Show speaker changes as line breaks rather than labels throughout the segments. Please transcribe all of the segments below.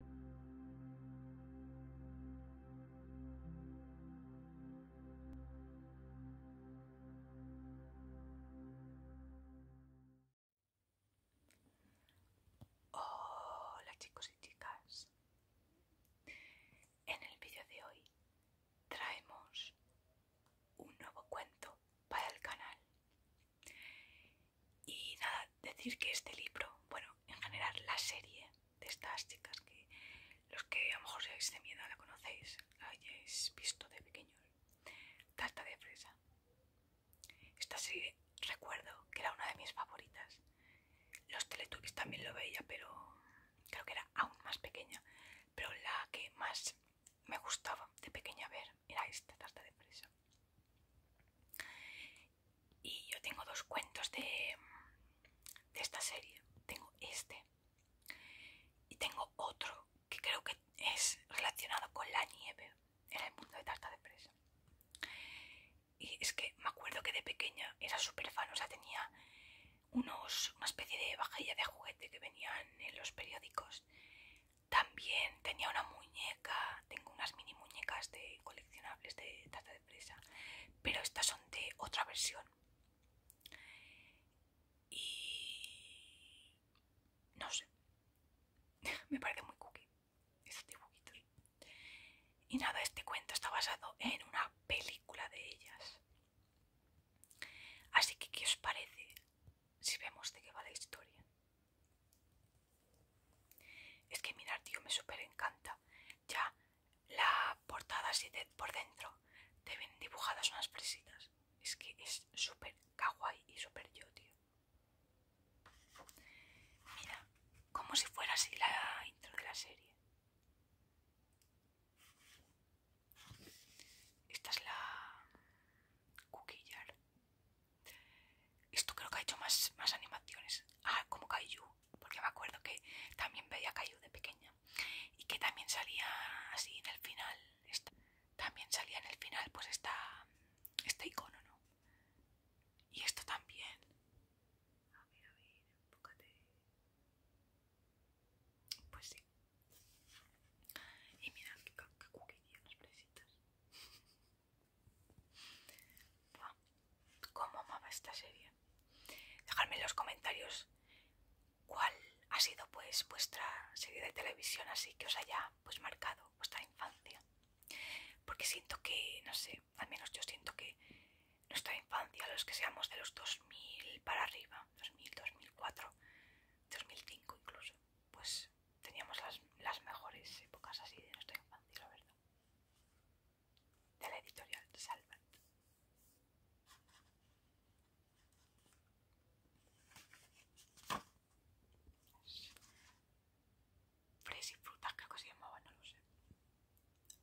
Hola chicos y chicas. En el vídeo de hoy traemos un nuevo cuento para el canal. Y nada, decir que este libro, bueno, en general la serie de estas chicas, que los que a lo mejor seáis de miedo la conocéis, la hayáis visto de pequeños, Tarta de Fresa. Esta serie recuerdo que era una de mis favoritas. Los Teletubbies también lo veía, pero creo que era aún más pequeña. Pero la que más me gustaba de pequeña ver era esta tarta de fresa. Y yo tengo dos cuentos de, de esta serie. Tengo este y tengo otro que creo que es relacionado con la nieve en el mundo de tarta de presa Y es que me acuerdo que de pequeña era súper fan, o sea, tenía unos, una especie de vajilla de juguete que venían en los periódicos. También tenía una muñeca, tengo unas mini muñecas de colección de tarta de presa, pero estas son de otra versión. Y no sé, me parece muy cookie Y nada, este cuento está basado en una película de ellas. Así que, ¿qué os parece si vemos de qué va la historia? Es que mirar, tío, me súper encanta. Ya la portada así por dentro te ven dibujadas unas fresitas. Es que es súper kawaii y súper yo, tío. Mira, como si fuera así la intro de la serie. Esta es la cuquillar. Esto creo que ha hecho más, animaciones. Ah, como Kaiju, porque me acuerdo que también veía Kaiju de pequeña. Y que también salía así en el final. Esta, también salía en el final, pues esta, este icono, ¿no? Y esto también. A ver, a ver, enfócate. Pues sí. Y mirad qué, qué, las ¿Cómo amaba esta serie? Dejadme en los comentarios cuál ha sido pues vuestra serie de televisión así que os haya pues marcado vuestra infancia. Porque siento que, no sé, al menos yo siento que nuestra infancia, los que seamos de los 2000 para arriba, 2000, 2004, 2005 incluso, pues teníamos las, las mejores épocas así de nuestra infancia, la verdad de la editorial Salvat. Fres y frutas, creo que se llamaba, no lo sé.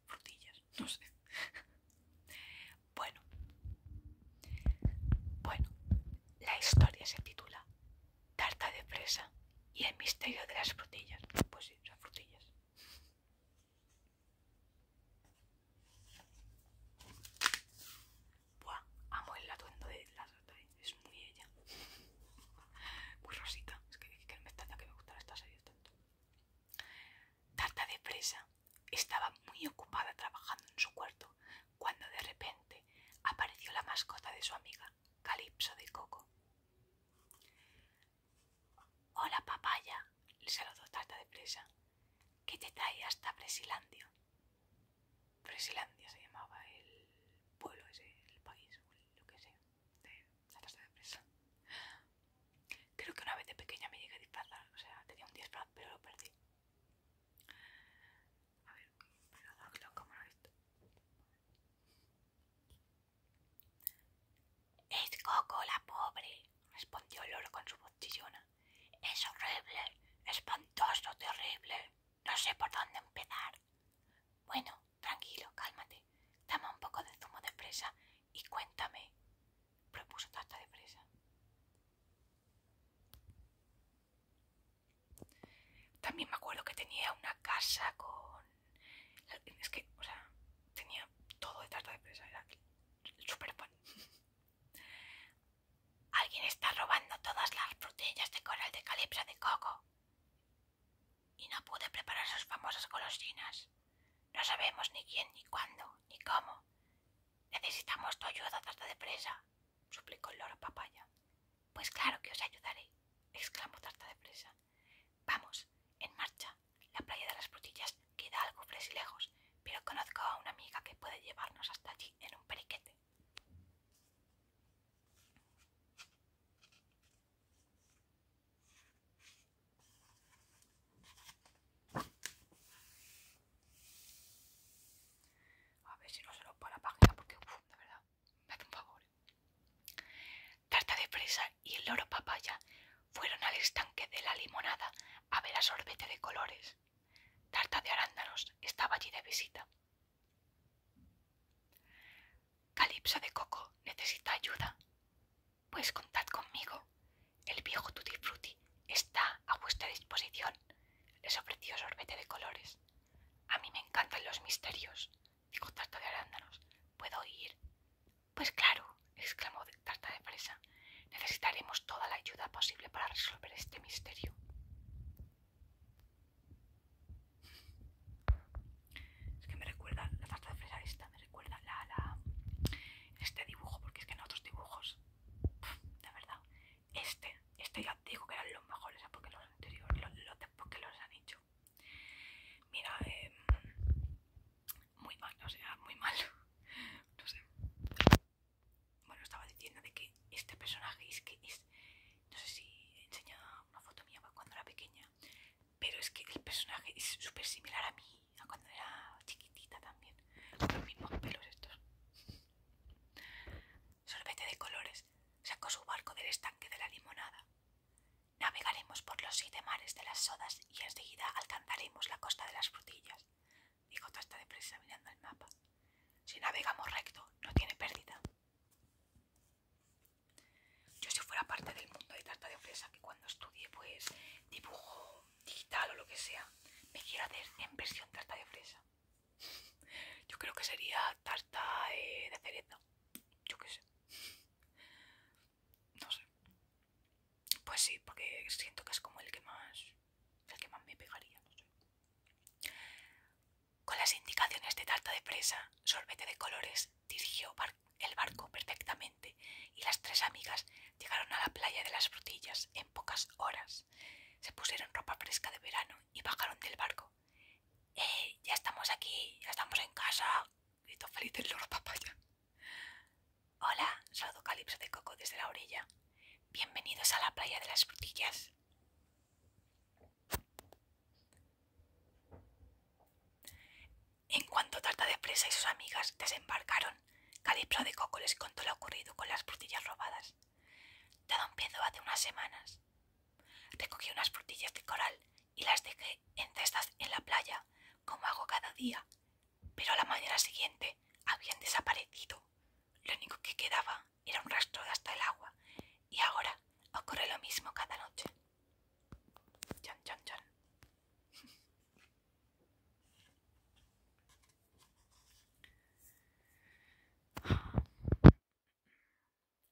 Frutillas, no sé. bueno. Bueno, la historia se titula Tarta de fresa y el misterio de las frutillas. Pues o frutillas. Buah, amo el atuendo de la sota, ¿eh? es muy ella. muy rosita, es que, que me extraña que me gustara esta serie tanto. Tarta de presa estaba muy ocupada trabajando en su cuarto cuando de repente apareció la mascota de su amiga, Calipso de Coco. Hola, papaya, le saludo Tarta de Presa. ¿Qué te trae hasta Bresilandia. Presilandia se llamaba el pueblo ese, el país, lo que sea, de la Tarta de Presa. Creo que una vez de pequeña me llegué a disfrazar, o sea, tenía un disfraz, pero lo perdí. A ver, la cámara esto. Es Coco la pobre, respondió el con su voz chillona. Es horrible, espantoso, terrible. No sé por dónde empezar. Bueno, tranquilo, cálmate. Toma un poco de zumo de fresa y cuéntame, propuso Tarta de Fresa. También me acuerdo que tenía una casa con es que, tenía todo de tarta de presa, era el Alguien está robando todas las frutillas de coral de calipso de coco. Y no pude preparar sus famosas golosinas. No sabemos ni quién, ni cuándo, ni cómo. Necesitamos tu ayuda, tarta de presa, suplicó el loro papaya. Pues claro que os ayudaré, exclamó tarta de presa. Vamos, en marcha. La playa de las Brutillas queda algo lejos, pero conozco a una amiga que puede llevarnos hasta allí en un periquete. A ver si no se lo la página porque, uff, de verdad. Tarta de fresa y el loro papaya fueron al estanque de la limonada a ver a sorbete de colores. Tarta de arándanos estaba allí de visita. Calipso de Coco necesita ayuda. Pues contad conmigo. El viejo Tutti Frutti está a vuestra disposición. Les ofreció sorbete de colores. A mí me encantan los misterios dijo Tarta de arándanos. ¿Puedo ir? Pues claro, exclamó Tarta de fresa. Necesitaremos toda la ayuda posible para resolver este misterio. Es que me recuerda la tarta de fresa esta, me recuerda la, este dibujo, porque es que en otros dibujos, de verdad, este, este ya digo que eran los mejores, porque los anteriores, porque los han hecho. Mira, em, muy mal, o sea, muy mal. No sé. Bueno, estaba diciendo de que este personaje es que es. No sé si enseñaba una foto mía cuando era pequeña, pero es que el personaje es súper similar a mí, a cuando era chiquitita también. Con los mismos pelos estos. Sorbete de colores. Sacó su barco del estanque de la limonada. Navegaremos por los siete mares de las sodas y enseguida alcanzaremos la costa de las frutillas, dijo de Fresa mirando el mapa. Si navegamos recto, no tiene pérdida. Yo si fuera parte del mundo de tarta de fresa que cuando estudie pues dibujo digital o lo que sea, me quiero hacer en versión tarta de fresa. Yo creo que sería tarta eh, de cereza. Yo qué sé. No sé. Pues sí, porque siento que es como el que más. el que más me pegaría, Con las indicaciones de tarta de presa, sorbete de colores, dirigió el barco perfectamente y las tres amigas llegaron a la playa de las frutillas en pocas horas. Se pusieron ropa fresca de verano y bajaron del barco. ¡Eh! Ya estamos aquí, ya estamos en casa, gritó feliz el loro papaya. Hola, saludo Calipso de Coco desde la orilla. Bienvenidos a la playa de las frutillas. En cuanto Tarta de Presa y sus amigas desembarcaron, Calipso de Coco les contó lo ocurrido con las frutillas robadas. Todo empezó hace unas semanas. Recogí unas frutillas de coral y las dejé en cestas en la playa, como hago cada día, pero a la mañana siguiente habían desaparecido. Lo único que quedaba era un rastro hasta el agua, y ahora ocurre lo mismo cada noche.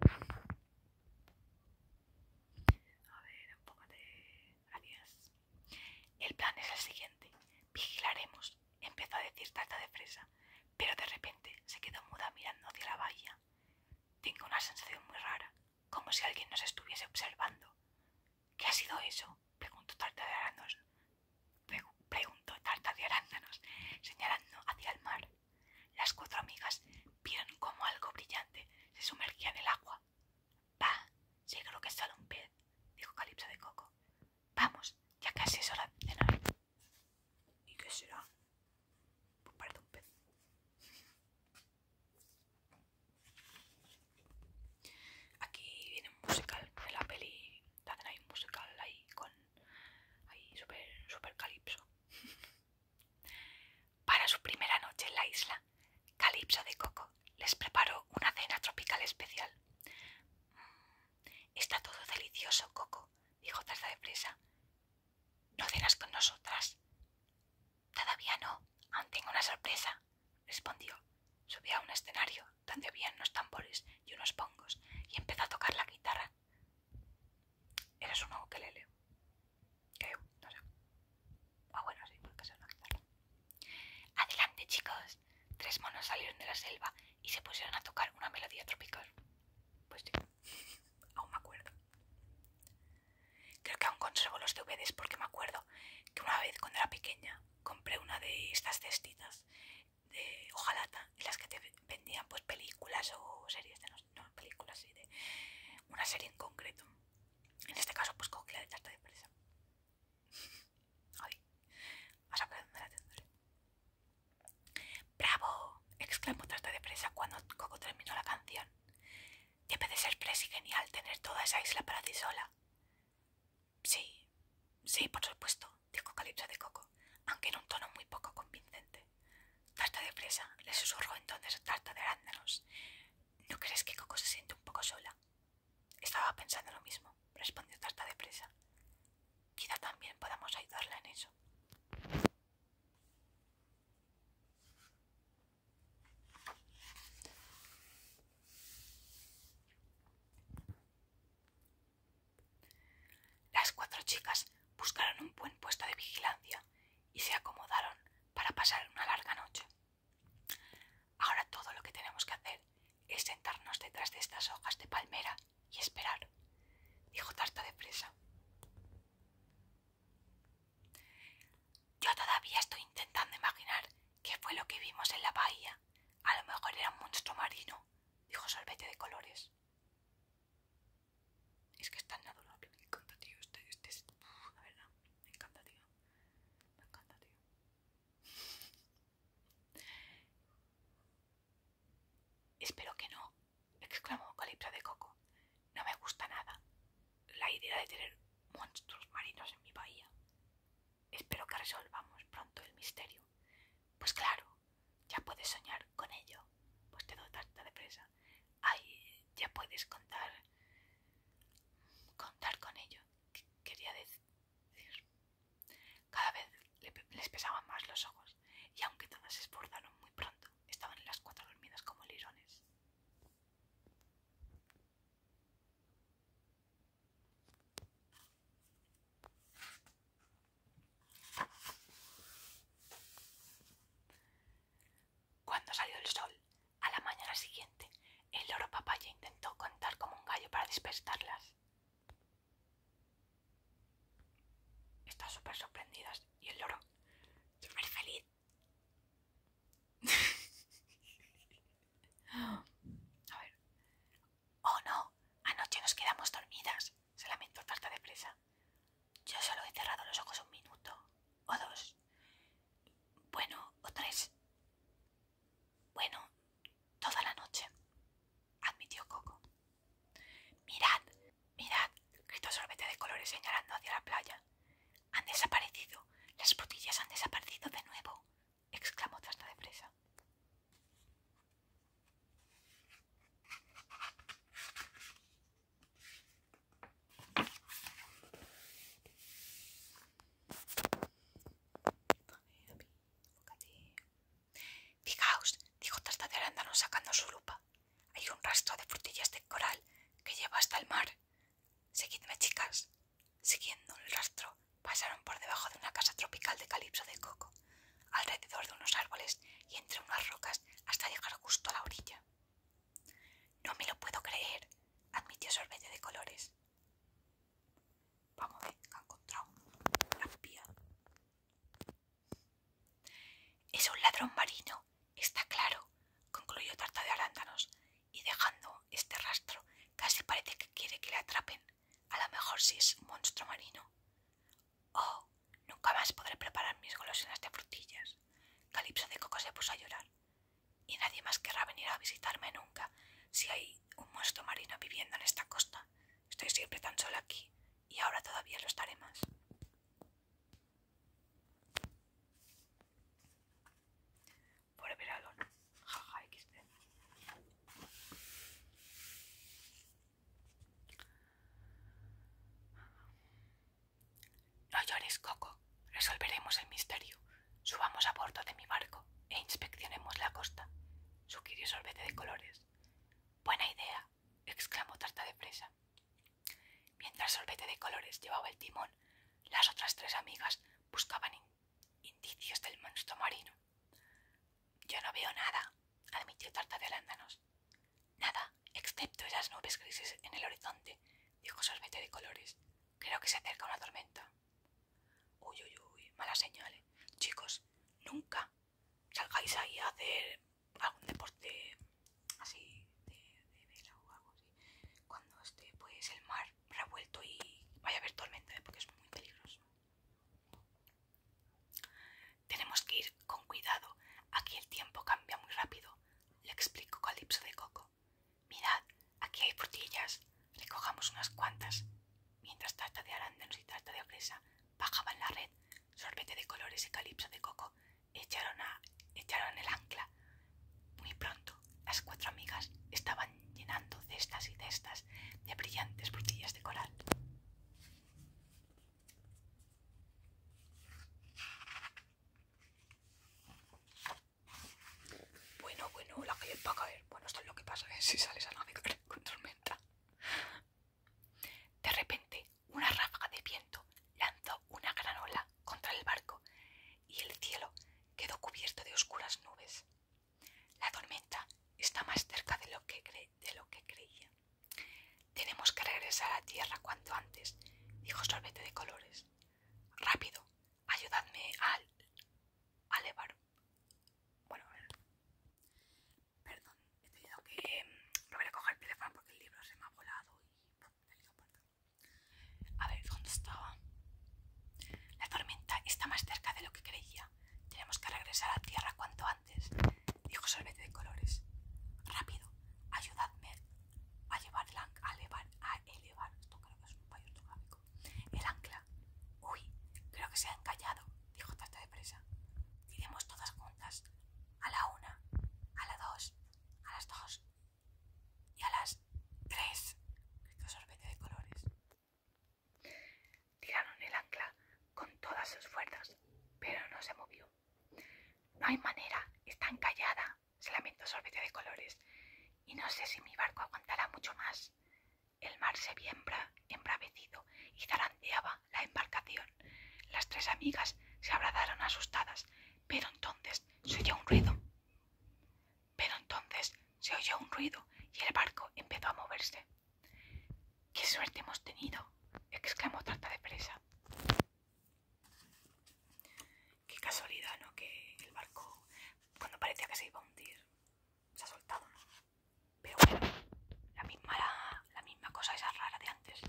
a ver, de El plan es el siguiente. Vigilaremos, empezó a decir Tarta de Fresa, pero de repente se quedó muda mirando hacia la bahía. Tengo una sensación muy rara, como si alguien nos estuviese observando. ¿Qué ha sido eso? preguntó Tarta de Arándanos. Tarta de señalando hacia el mar. Las cuatro amigas vieron como algo brillante se sumergía en el agua. —¡Bah! Sí, creo que es solo un pez —dijo Calipso de Coco—. Vamos, ya casi es hora de cenar. —¿Y qué será? Pues parece un pez. Aquí viene un musical de la peli. También hay un musical ahí con... ahí super calipso. Para su primera noche en la isla, Calipso de Coco les preparó una cena tropical especial. Mm, está todo delicioso, Coco, dijo Tarza de Presa. ¿No cenas con nosotras? Todavía no, aún tengo una sorpresa, respondió. Subió a un escenario donde había unos tambores y unos pongos y empezó a tocar la guitarra Eres un leo que no sé. Ah, bueno, sí, porque es una guitarra. Adelante, chicos. Tres monos salieron de la selva y se pusieron a tocar una melodía tropical. Pues sí, aún me acuerdo. Creo que aún conservo los DVDs porque me acuerdo que una vez cuando era pequeña compré una de estas cestitas de hojalata en las que te vendían pues películas o series de no no, películas, sí, de una serie en concreto. En este caso, pues Coco la de tarta de presa. Ay, vas a dónde la tendré. ¡Bravo! exclamó Tarta de Presa cuando Coco terminó la canción. Debe de ser y genial tener toda esa isla para ti sola. Sí, sí, por supuesto, dijo Calipso de Coco, aunque en un tono muy poco convincente. Tarta de presa, le susurró entonces Tarta de arándanos. ¿No crees que Coco se siente un poco sola? Estaba pensando lo mismo, respondió Tarta de Presa. Quizá también podamos ayudarla en eso. Las cuatro chicas buscaron un buen puesto de vigilancia y se acomodaron para pasar una larga noche. Ahora todo lo que tenemos que hacer es sentarnos detrás de estas hojas de palmera y esperar, dijo Tarta de presa. Yo todavía estoy intentando imaginar qué fue lo que vimos en la bahía. A lo mejor era un monstruo marino, dijo Sorbete de Colores. Es que es tan adorable, me encanta, tío. Este, este es. verdad, me encanta, tío. Me encanta, tío. Espero que no, exclamó Calipso de Coco. No me gusta nada la idea de tener monstruos marinos en mi bahía. Espero que resolvamos pronto el misterio. Pues claro, ya puedes soñar con ello, pues te doy tarta de presa. Ay, ya puedes contar contar con ello quería decir cada vez les pesaban más los ojos y aunque todas se esforzaron muy pronto estaban las cuatro dormidas como lirones cuando salió el sol, a la mañana siguiente, el loro papaya intentó contar como un gallo para despertarlas. Están súper sorprendidas y el loro súper feliz. a ver. Oh no, anoche nos quedamos dormidas, se lamentó Tarta de Presa. Yo solo he cerrado los ojos un minuto, o dos, bueno, o tres, bueno, toda la noche, admitió Coco. Mirad, mirad, gritó Sorbete de Colores señalando hacia la playa. Han desaparecido, las botillas han desaparecido de nuevo, exclamó Trasta de presa Fijaos, dijo Tarta de Arándano sacando su lupa. Hay un rastro de frutillas de coral que lleva hasta el mar. Seguidme, chicas. Siguiendo el rastro, pasaron por debajo de una casa tropical de calipso de coco, alrededor de unos árboles y entre unas rocas hasta llegar justo a la orilla. No me lo puedo creer, admitió Sorbete de Colores. Vamos a ver, ha encontrado una espía. Es un ladrón marino, está claro, concluyó Tarta de Arándanos, y dejando este rastro casi parece que quiere que le atrapen. A lo mejor si sí es un monstruo marino. Oh, Nunca más podré preparar mis golosinas de frutillas. Calipso de Coco se puso a llorar. Y nadie más querrá venir a visitarme nunca si hay un monstruo marino viviendo en esta costa. Estoy siempre tan sola aquí y ahora todavía lo estaré más. Por jaja no llores, Coco. Resolveremos el misterio. Subamos a bordo de mi barco e inspeccionemos la costa. Sugirió solvete de Colores. Buena idea, exclamó Tarta de Presa. Mientras solvete de Colores llevaba el timón, las otras tres amigas buscaban indicios del monstruo marino. Yo no veo nada, admitió Tarta de Nada, excepto esas nubes grises en el horizonte, dijo Sorbete de Colores. Creo que se acerca una tormenta. Uy, uy, uy, mala señal. ¿eh? Chicos, nunca salgáis ahí a hacer algún deporte así de, vela o algo así. Cuando esté pues el mar revuelto y vaya a haber tormenta, ¿eh? porque es muy peligroso. Tenemos que ir con cuidado. Aquí el tiempo cambia muy rápido le explicó Calipso de Coco. Mirad, aquí hay frutillas, recojamos unas cuantas. Mientras tarta de arándanos y tarta de bajaba bajaban la red, sorbete de colores y Calipso de Coco echaron, a, echaron el ancla. Muy pronto, las cuatro amigas estaban llenando cestas y cestas de brillantes frutillas de coral. Bueno, bueno, la calle va a caer. Bueno, esto es lo que pasa ¿eh? si sales a navegar con tormenta. De repente, una ráfaga de viento lanzó una gran ola contra el barco y el cielo quedó cubierto de oscuras nubes. La tormenta está más cerca de lo que, de lo que creía. Tenemos que regresar a tierra cuanto antes, dijo Sorbete de Colores. Rápido, ayudadme al. a elevar. Bueno, perdón, he tenido que eh, volver a coger el teléfono porque el libro se me ha volado y. A ver, ¿dónde estaba? La tormenta está más cerca de lo que creía. Tenemos que regresar a tierra cuanto antes, dijo Sorbete de Colores. Rápido, ayudadme a a elevar, a el ancla. Uy, creo que se ha encallado, dijo Tasta de Presa. —Tiremos todas juntas, a la una, a la dos, a las dos y a las tres. de Colores. Tiraron el ancla con todas sus fuerzas, pero no se movió. No hay manera, está encallada, se lamentó Sorbete de Colores, y no sé si mi barco aguantará mucho más. El mar se viembra, embravecido y zaranteaba la embarcación. Las tres amigas se abrazaron asustadas, pero entonces se oyó un ruido. Pero entonces se oyó un ruido y el barco empezó a moverse. ¡Qué suerte hemos tenido! exclamó Trata de Presa. Qué casualidad, ¿no? Que el barco, cuando parecía que se iba a hundir, se ha soltado, ¿no? Pero bueno, la misma, la, misma cosa esa rara de antes.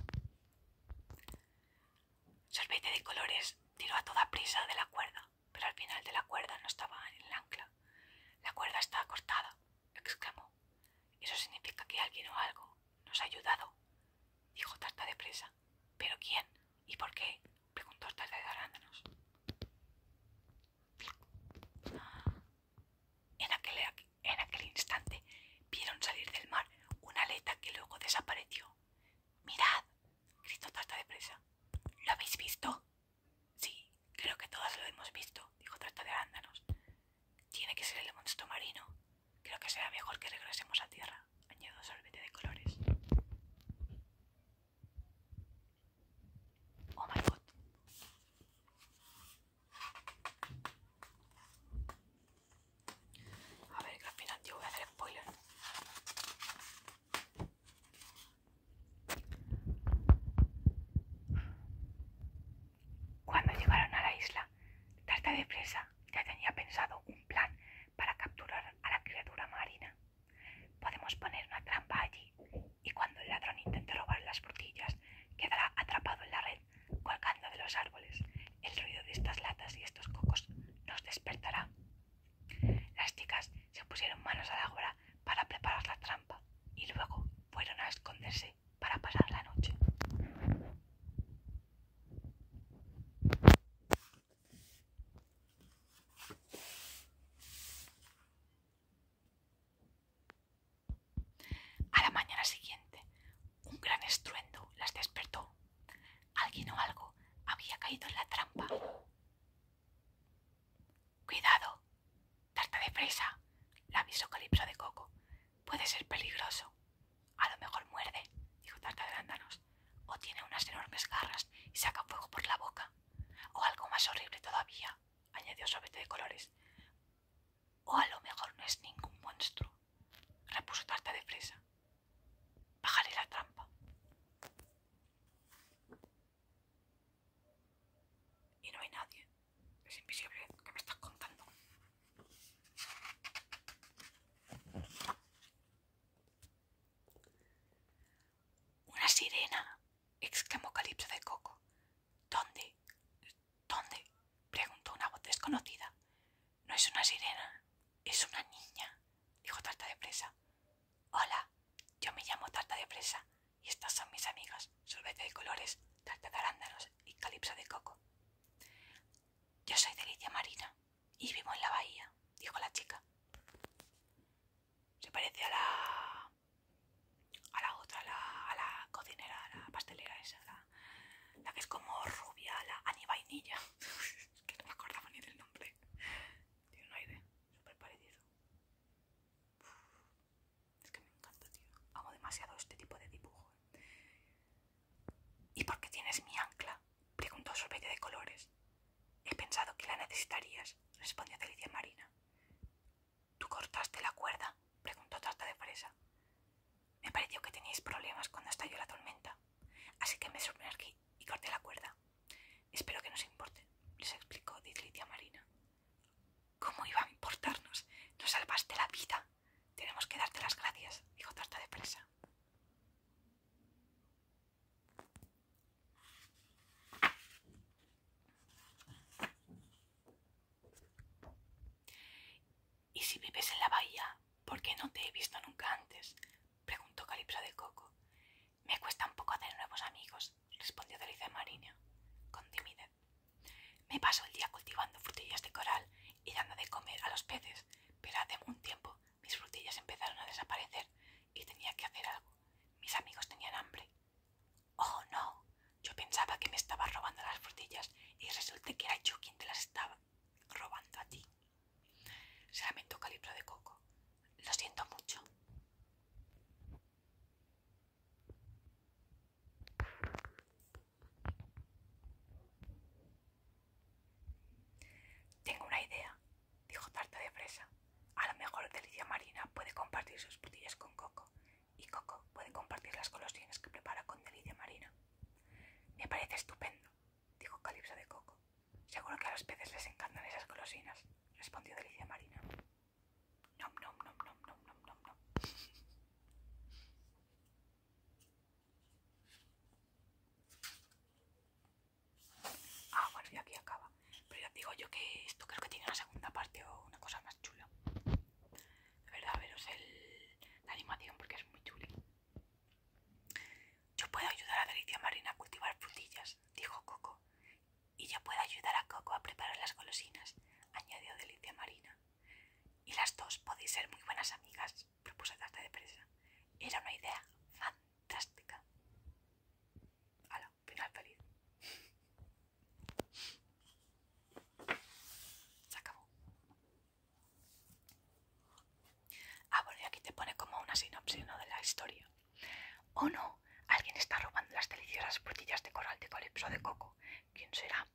Sorbete de colores tiró a toda prisa de la cuerda, pero al final de la cuerda no estaba en el ancla. La cuerda está cortada, exclamó. Eso significa que alguien o algo nos ha ayudado, dijo Tarta de Presa. ¿Pero quién? ¿Y por qué? preguntó Tarta de Arándanos. En aquel, instante vieron salir del mar una aleta que luego desapareció. ¡Mirad! gritó Tarta de Presa. ¿Lo habéis visto? Sí, creo que todos lo hemos visto, dijo Tarta de Arándanos. Tiene que ser el monstruo marino. Creo que será mejor que regresemos a tierra, Añado Sorbete de colores. Oh my god. A ver, que al final yo voy a hacer spoiler. Cuando llegaron a la isla, Tarta de Presa ya tenía pensado un plan para capturar a la criatura marina. Podemos poner una trampa allí y cuando el ladrón intente robar las frutillas quedará atrapado en la red colgando de los árboles. El ruido de estas latas y estos cocos nos despertará. Las chicas se pusieron manos a la obra para preparar la trampa y luego fueron a esconderse para pasar la noche. A la mañana siguiente, un gran estruendo las despertó. Alguien o algo había caído en la trampa. Cuidado, tarta de presa, la avisó Calipso de Coco. Puede ser peligroso. A lo mejor muerde, dijo Tarta de Lándanos—. o tiene unas enormes garras y saca fuego por la boca. O algo más horrible todavía, añadió sobete de Colores. O a lo mejor no es ningún monstruo, repuso Tarta de Fresa. Bájale la trampa. Y no hay nadie. Es invisible. ¿Qué me estás contando? Una sirena, exclamó Calipso de Coco. ¿Dónde? ¿Dónde? preguntó una voz desconocida. No es una sirena, es una niña, dijo Tarta de Presa. Hola, yo me llamo Tarta de Presa y estas son mis amigas, Sorbete de Colores, Tarta de Arándanos y Calipso de Coco. Yo soy Delicia Marina. Y vivo en la bahía, dijo la chica. Se parece a la. a la otra, a la, a la cocinera, a la pastelera esa, la, la que es como rubia, la Ani Vainilla. que no me acordaba ni del nombre. Tiene un aire súper parecido. es que me encanta, tío. Amo demasiado este tipo de dibujo. Eh. ¿Y por qué tienes mi ancla? preguntó Sorbete de Colores. He pensado que la necesitarías, respondió Delicia Marina. ¿Tú cortaste la cuerda? preguntó Tarta de Fresa. Me pareció que teníais problemas cuando estalló la tormenta, así que me sumergí y corté la cuerda. Espero que nos importe, les explicó Delicia Marina. ¿Cómo iba a importarnos? ¡No salvaste la vida. Tenemos que darte las gracias, dijo Tarta de Fresa. ¿Y si vives en la bahía? ¿Por qué no te he visto nunca antes? preguntó Calipso de Coco. Me cuesta un poco hacer nuevos amigos, respondió Delicia Marina, con timidez. Me paso el día cultivando frutillas de coral y dando de comer a los peces, pero hace un tiempo mis frutillas empezaron a desaparecer y tenía que hacer algo. Mis amigos tenían hambre. Oh, no. Yo pensaba que me estaba robando las frutillas y resulta que era yo quien te las estaba robando a ti. Se lamentó Calipro de Coco. Lo siento mucho. Tengo una idea, dijo Tarta de Fresa. A lo mejor Delicia Marina puede compartir sus putillas con Coco y Coco puede compartir las colosinas que prepara con Delicia Marina. Me parece estupendo, dijo Calipso de Coco. Seguro que a los peces les encantan esas golosinas, respondió Delicia Marina. Ah, bueno, y aquí acaba. Pero ya digo yo que esto creo que tiene una segunda parte o una cosa más chula. De verdad, veros la animación porque es muy chula. Yo puedo ayudar a Delicia Marina a cultivar frutillas, dijo Coco. Y yo puedo ayudar a Coco a preparar las golosinas, añadió Delicia Marina. Y las dos podéis ser muy buenas amigas propuse de presa. Era una idea fantástica. Ala, final feliz. Se acabó. Ah, bueno, y aquí te pone como una sinopsis ¿no? de la historia. ¿O no, alguien está robando las deliciosas frutillas de coral de calipso de coco. ¿Quién será?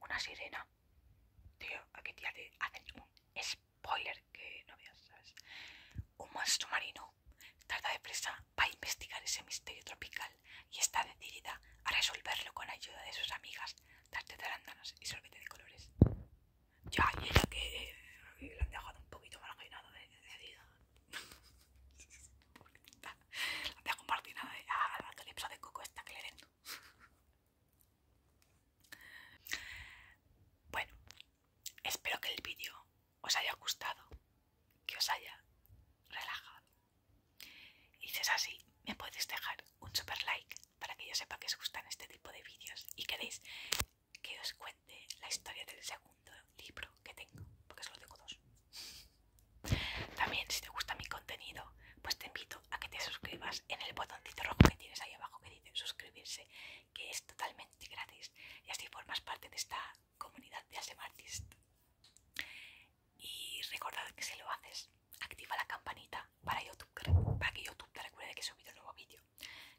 Una sirena. Tío, aquí te hacen un spoiler que no veas, ¿sabes? Un monstruo marino trata de va a investigar ese misterio tropical y está decidida a resolverlo con ayuda de sus amigas, tarte de arándanos y sorbete de colores. Ya, y es que le lo han dejado un poquito marginado de decidida. la dejo marginada a la calypso de coco esta que le bueno, espero que el vídeo os haya gustado, que os haya relajado. Y si es así, me podéis dejar un super like para que yo sepa que os gustan este tipo de vídeos y queréis que os cuente la historia del segundo libro que tengo, porque solo tengo dos. También si te gusta mi contenido, pues te invito a que te suscribas en el botoncito rojo que tienes ahí abajo de suscribirse, que es totalmente gratis y así formas parte de esta comunidad de Asmartist. Y recordad que si lo haces, activa la campanita para, YouTube, para que YouTube te recuerde que he subido un nuevo vídeo.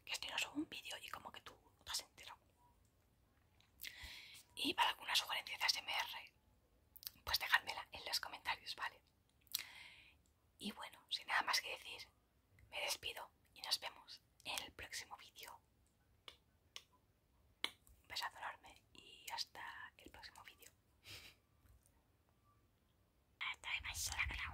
Que estoy no subo un vídeo y como que tú no has enterado. Y para alguna sugerencia de ASMR, pues dejadmela en los comentarios, ¿vale? Y bueno, sin nada más que decir, me despido y nos vemos en el próximo vídeo. Un besazo enorme y hasta el próximo vídeo. ¡Hasta la próxima!